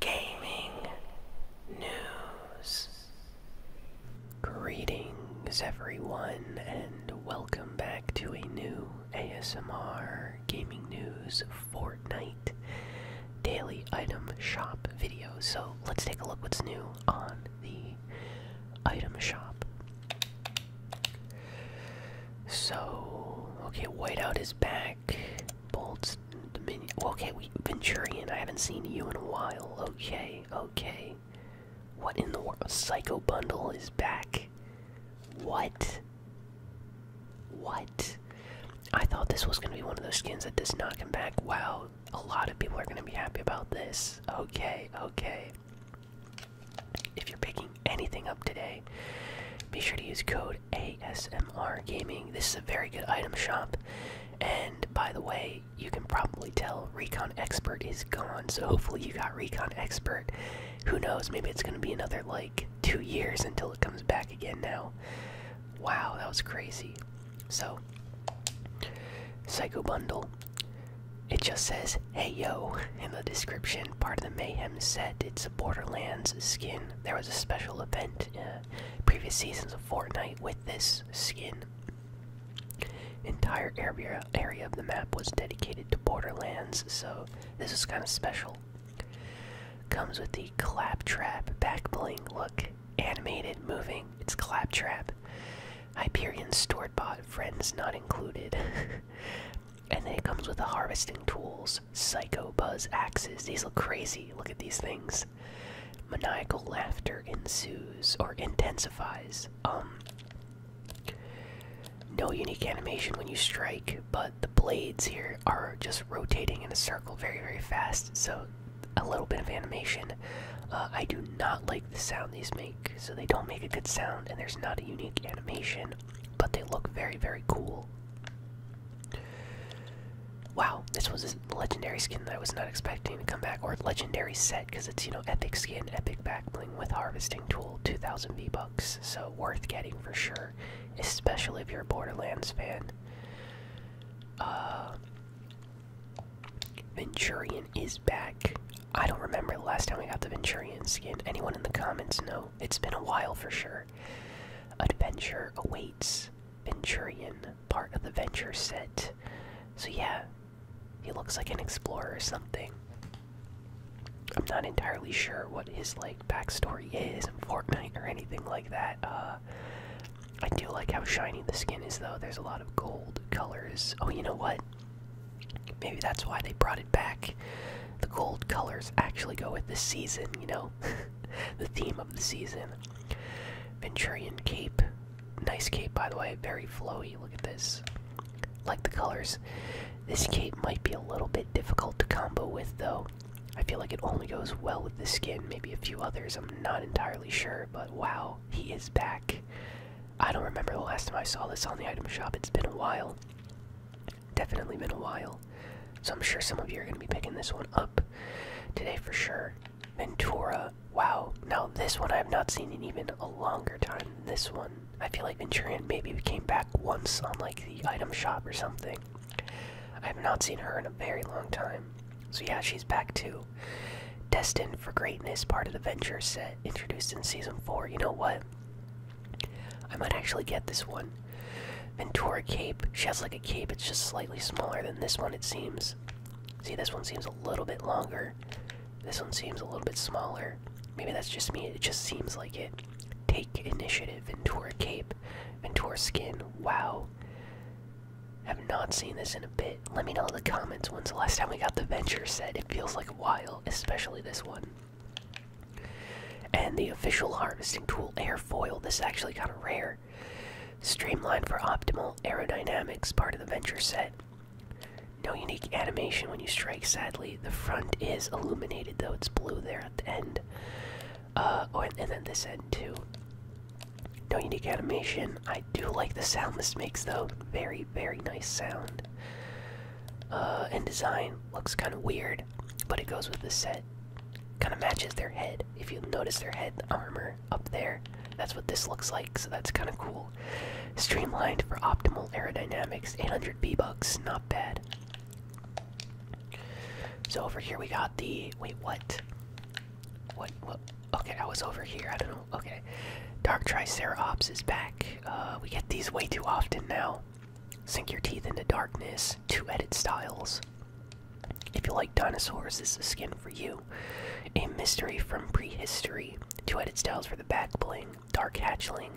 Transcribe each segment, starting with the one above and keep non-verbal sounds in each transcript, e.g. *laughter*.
gaming news. Greetings, everyone, and welcome back to a new ASMR Gaming News Fortnite Daily Item Shop video. So let's take a look what's new on the item shop. So, okay, Whiteout is back. Bolts, Dominion. Okay, we Venturian. I haven't seen you in a while. Okay, okay. What in the world? Psycho Bundle is back. What? What? I thought this was gonna be one of those skins that does not come back. Wow, a lot of people are gonna be happy about this. Okay, okay. If you're picking anything up today, be sure to use code ASMR Gaming. This is a very good item shop. And by the way, you can probably tell Recon Expert is gone, so hopefully you got Recon Expert. Who knows, maybe it's gonna be another like two years until it comes back again now. Wow, that was crazy. So, Psycho Bundle. It just says, hey yo, in the description, part of the Mayhem set. It's a Borderlands skin there was a special event in uh, previous seasons of Fortnite with this skin. Entire area area of the map was dedicated to Borderlands, so this is kind of special. Comes with the claptrap back bling. Look, animated, moving. It's claptrap. Hyperion stored bought, friends not included. *laughs* And then it comes with the harvesting tools, psycho buzz axes. These look crazy. Look at these things. Maniacal laughter ensues or intensifies. Um no unique animation when you strike, but the blades here are just rotating in a circle very, very fast, so a little bit of animation. Uh, I do not like the sound these make, so they don't make a good sound, and there's not a unique animation but they look very, very cool. Wow, this was a legendary skin that I was not expecting to come back, or legendary set, because it's, you know, epic skin, epic back bling with harvesting tool, 2000 V-Bucks, so worth getting for sure, especially if you're a Borderlands fan. Uh, Venturian is back. I don't remember the last time we got the Venturian skin. Anyone in the comments know it's been a while for sure. Adventure awaits. Venturian, part of the Venture set. So, yeah, he looks like an explorer or something. I'm not entirely sure what his like backstory is in Fortnite or anything like that. Uh, I do like how shiny the skin is, though. There's a lot of gold colors. Oh, you know what? Maybe that's why they brought it back. The gold colors actually go with the season, you know? *laughs* the theme of the season. Venturian cape. Nice cape, by the way. Very flowy. Look at this. Like the colors. This cape might be a little bit difficult to combo with, though. I feel like it only goes well with the skin, maybe a few others. I'm not entirely sure, but wow, he is back. I don't remember the last time I saw this on the item shop. It's been a while. Definitely been a while. So I'm sure some of you are going to be picking this one up today for sure. Ventura. Wow. Now, this one I have not seen in even a longer time than this one. I feel like Venturian maybe came back once on like the item shop or something. I have not seen her in a very long time. So yeah, she's back too. Destined for Greatness, part of the Ventura set, introduced in Season 4. You know what? I might actually get this one. Ventura Cape. She has like a cape, it's just slightly smaller than this one, it seems. See, this one seems a little bit longer. This one seems a little bit smaller. Maybe that's just me, it just seems like it. Take initiative, Ventura Cape, Ventura Skin. Wow. Have not seen this in a bit. Let me know in the comments when's the last time we got the Venture set. It feels like while, especially this one. And the official harvesting tool airfoil. This is actually kind of rare. Streamlined for optimal aerodynamics, part of the venture set. No unique animation when you strike, sadly. The front is illuminated, though it's blue there at the end. Uh, oh, and then this end, too. No unique animation. I do like the sound this makes, though. Very, very, nice sound. Uh, and design looks kind of weird, but it goes with the set. Kind of matches their head. If you notice their head armor up there, that's what this looks like, so that's kind of cool. Streamlined for optimal aerodynamics, 800 B bucks, not bad. So over here we got the wait what? What what okay, I was over here. I don't know Okay. Dark Tricerops is back. Uh, we get these way too often now. Sink your teeth into darkness. Two edit styles. If you like dinosaurs, this is a skin for you. A mystery from prehistory. Two edit styles for the back bling. Dark hatchling.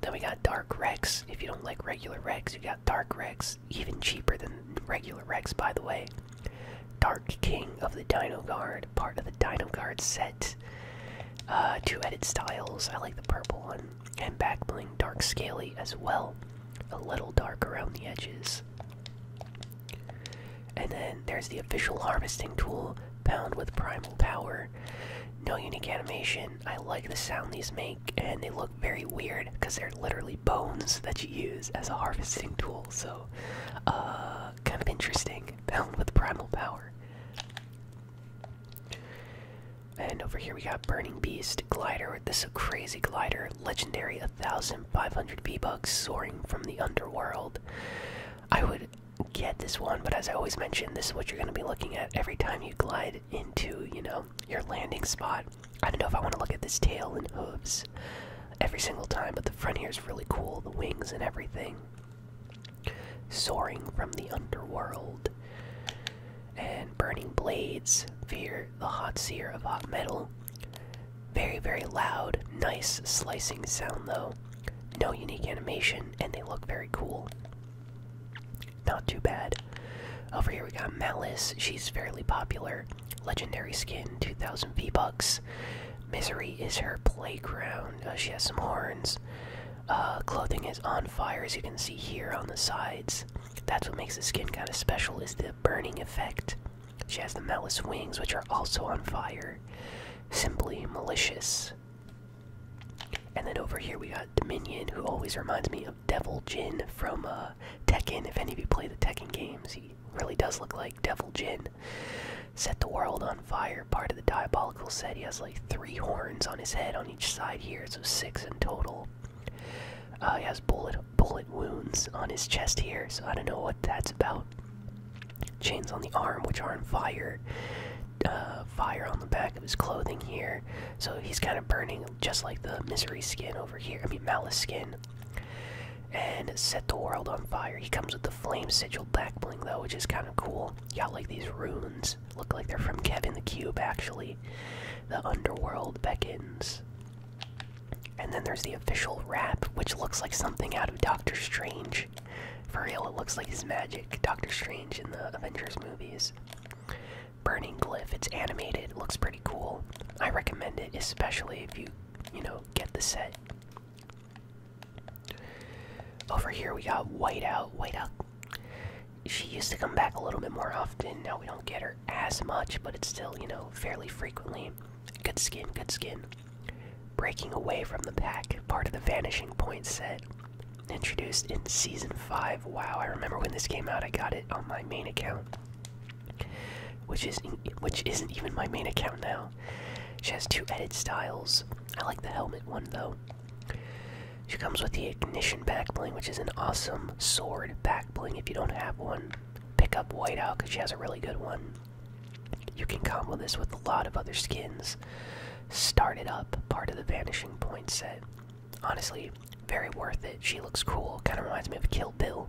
Then we got Dark Rex. If you don't like regular Rex, you got Dark Rex. Even cheaper than regular Rex, by the way. Dark King of the Dino Guard, part of the Dino Guard set. Uh, two edit styles. I like the purple one. And backbling Dark Scaly as well. A little dark around the edges. And then there's the official harvesting tool, bound with Primal Power. No unique animation. I like the sound these make, and they look very weird because they're literally bones that you use as a harvesting tool. So, uh, kind of interesting, bound with primal power. And over here we got Burning Beast, Glider. This is a crazy glider. Legendary 1500 bee bugs soaring from the underworld. I would get this one, but as I always mention, this is what you're going to be looking at every time you glide into, you know, your landing spot. I don't know if I want to look at this tail and hooves every single time, but the front here is really cool, the wings and everything. Soaring from the underworld. And burning blades, fear the hot seer of hot metal. Very, very loud, nice slicing sound though. No unique animation, and they look very cool. Not too bad. Over here we got Malice, she's fairly popular. Legendary skin, 2,000 V-Bucks. Misery is her playground. Uh, she has some horns. Uh, clothing is on fire, as you can see here on the sides. That's what makes the skin kind of special, is the burning effect. She has the malice wings, which are also on fire. Simply malicious. And then over here we got Dominion, who always reminds me of Devil Jin from uh, Tekken. If any of you play the Tekken games, he really does look like Devil Jin. Set the world on fire. Part of the diabolical set. He has like three horns on his head on each side here, so six in total. Uh, he has bullet bullet wounds on his chest here, so I don't know what that's about. Chains on the arm, which are on fire. Uh, fire on the back of his clothing here, so he's kind of burning just like the misery skin over here. I mean, malice skin and set the world on fire. He comes with the flame sigil back bling though, which is kind of cool. got like these runes, look like they're from Kevin the Cube actually. The underworld beckons. And then there's the official wrap, which looks like something out of Doctor Strange. For real, it looks like his magic. Doctor Strange in the Avengers movies. Burning Glyph, it's animated, looks pretty pretty cool. I recommend it, especially if you, you know, get the set. Over here we got Whiteout. Whiteout. She used to come back a little bit more often. Now we don't get her as much, but it's still, you know, fairly frequently. Good skin, good skin. Breaking away from the pack, part of the Vanishing Point set. Introduced in Season 5. Wow, I remember when this came out, I got it on my main account which is which isn't even my main account now. She has two edit styles. I like the helmet one though. She comes with the ignition back bling, which is an awesome sword back bling. If you don't have one, pick up Whiteout because she has a really good one. You can combo this with a lot of other skins. Started up, part of the Vanishing Point set honestly, very worth it. She looks cool, kind of reminds me of Kill Bill.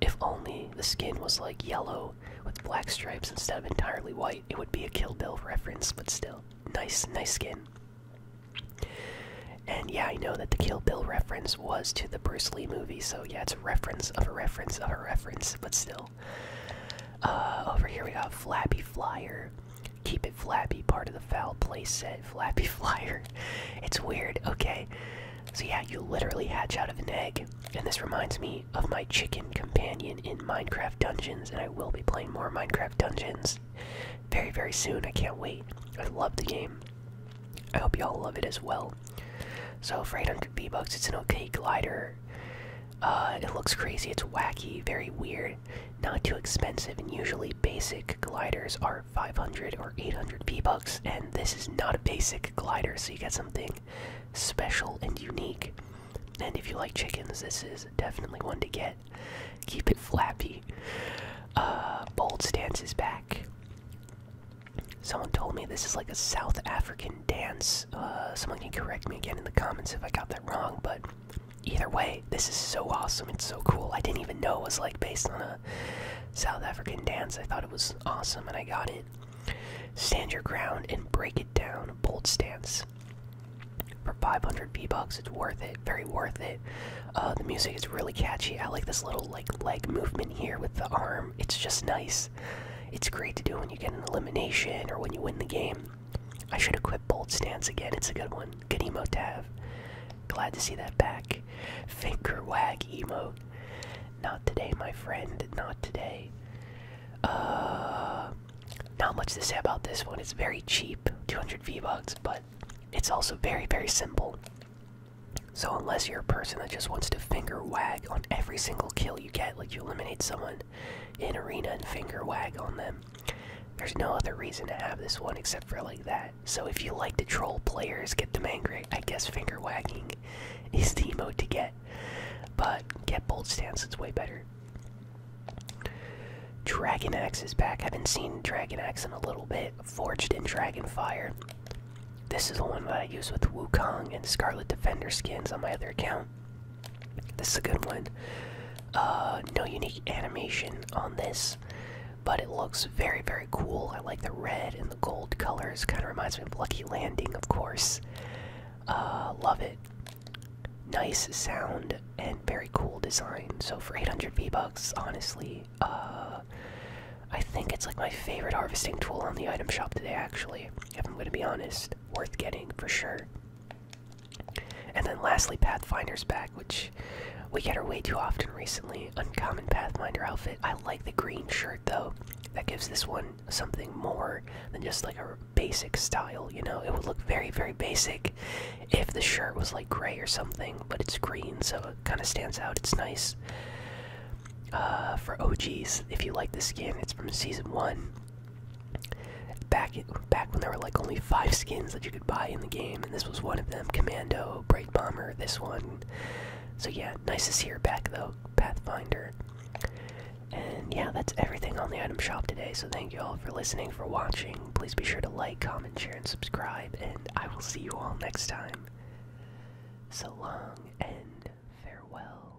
If only the skin was like yellow with black stripes instead of entirely white, it would be a Kill Bill reference, but still, nice, nice skin. And yeah, I know that the Kill Bill reference was to the Bruce Lee movie, so yeah, it's a reference of a reference of a reference, but still. Uh, over here we got Flappy Flyer. Keep it flappy. part of the foul play set. *laughs* Flappy flyer. It's weird, okay. So, yeah, you literally hatch out of an egg. And this reminds me of my chicken companion in Minecraft Dungeons, and I will be playing more Minecraft Dungeons very, very soon. I can't wait. I love the game. I hope y'all love it as well. So, for 800 B bucks it's an okay glider. Uh, it looks crazy, it's wacky, very weird. Not too expensive, and usually basic gliders are 500 or 800 V-Bucks, and this is not a basic glider, so you get something special and unique. And if you like chickens, this is definitely one to get. Keep it flappy. Uh, bold stances back. Someone told me this is like a South African dance. Uh, someone can correct me again in the comments if I got that wrong, but either way, this is so awesome. It's so cool. I didn't even know it was like based on a South African dance. I thought it was awesome and I got it. Stand your ground and break it down. Bold stance. For 500 V-Bucks, it's worth it. Very worth it. Uh, the music is really catchy. I like this little like leg movement here with the arm. It's just nice. It's great to do when you get an elimination or when you win the game. I should equip bold stance again. It's a good one. Good emote tab. Glad to see that back. Finger wag emote. Not today, my friend. Not today. Uh, not much to say about this one. It's very cheap, 200 V bucks, but it's also very, very simple. So unless you're a person that just wants to finger wag on every single kill you get, like you eliminate someone in arena and finger wag on them, there's no other reason to have this one except for like that. So if you like to troll players, get them angry. I guess finger wagging *laughs* is the mode to get. But get bold stance, it's way better. Dragon Axe is back. I haven't seen Dragon Axe in a little bit. Forged in dragon fire. This is the one that I use with Wukong and Scarlet Defender skins on my other account. This is a good one. Uh, no unique animation on this, but it looks very, very cool. I like the red and the gold colors. Kind of reminds me of Lucky Landing, of course. Uh, love it. Nice sound and very cool design. So for 800 V bucks, honestly, uh, I think it's like my favorite harvesting tool on the item shop today. Actually, if I'm going to be honest, worth getting for sure. And then lastly, Pathfinder's bag, which we get her way too often recently. Uncommon Pathfinder outfit. I like the green shirt though. That gives this one something more than just like a basic style, you know? It would look very, very basic if the shirt was like gray or something, but it's green, so it kind of stands out. It's nice. Uh, for OGs, if you like the skin, it's from season one. Back back when there were like only five skins that you could buy in the game, and this was one of them: Commando, Bright Bomber, this one. So yeah, nice to see her back though, Pathfinder. And yeah, that's everything on the item shop today. So thank you all for listening, for watching. Please be sure to like, comment, share, and subscribe. And I will see you all next time. So long and farewell.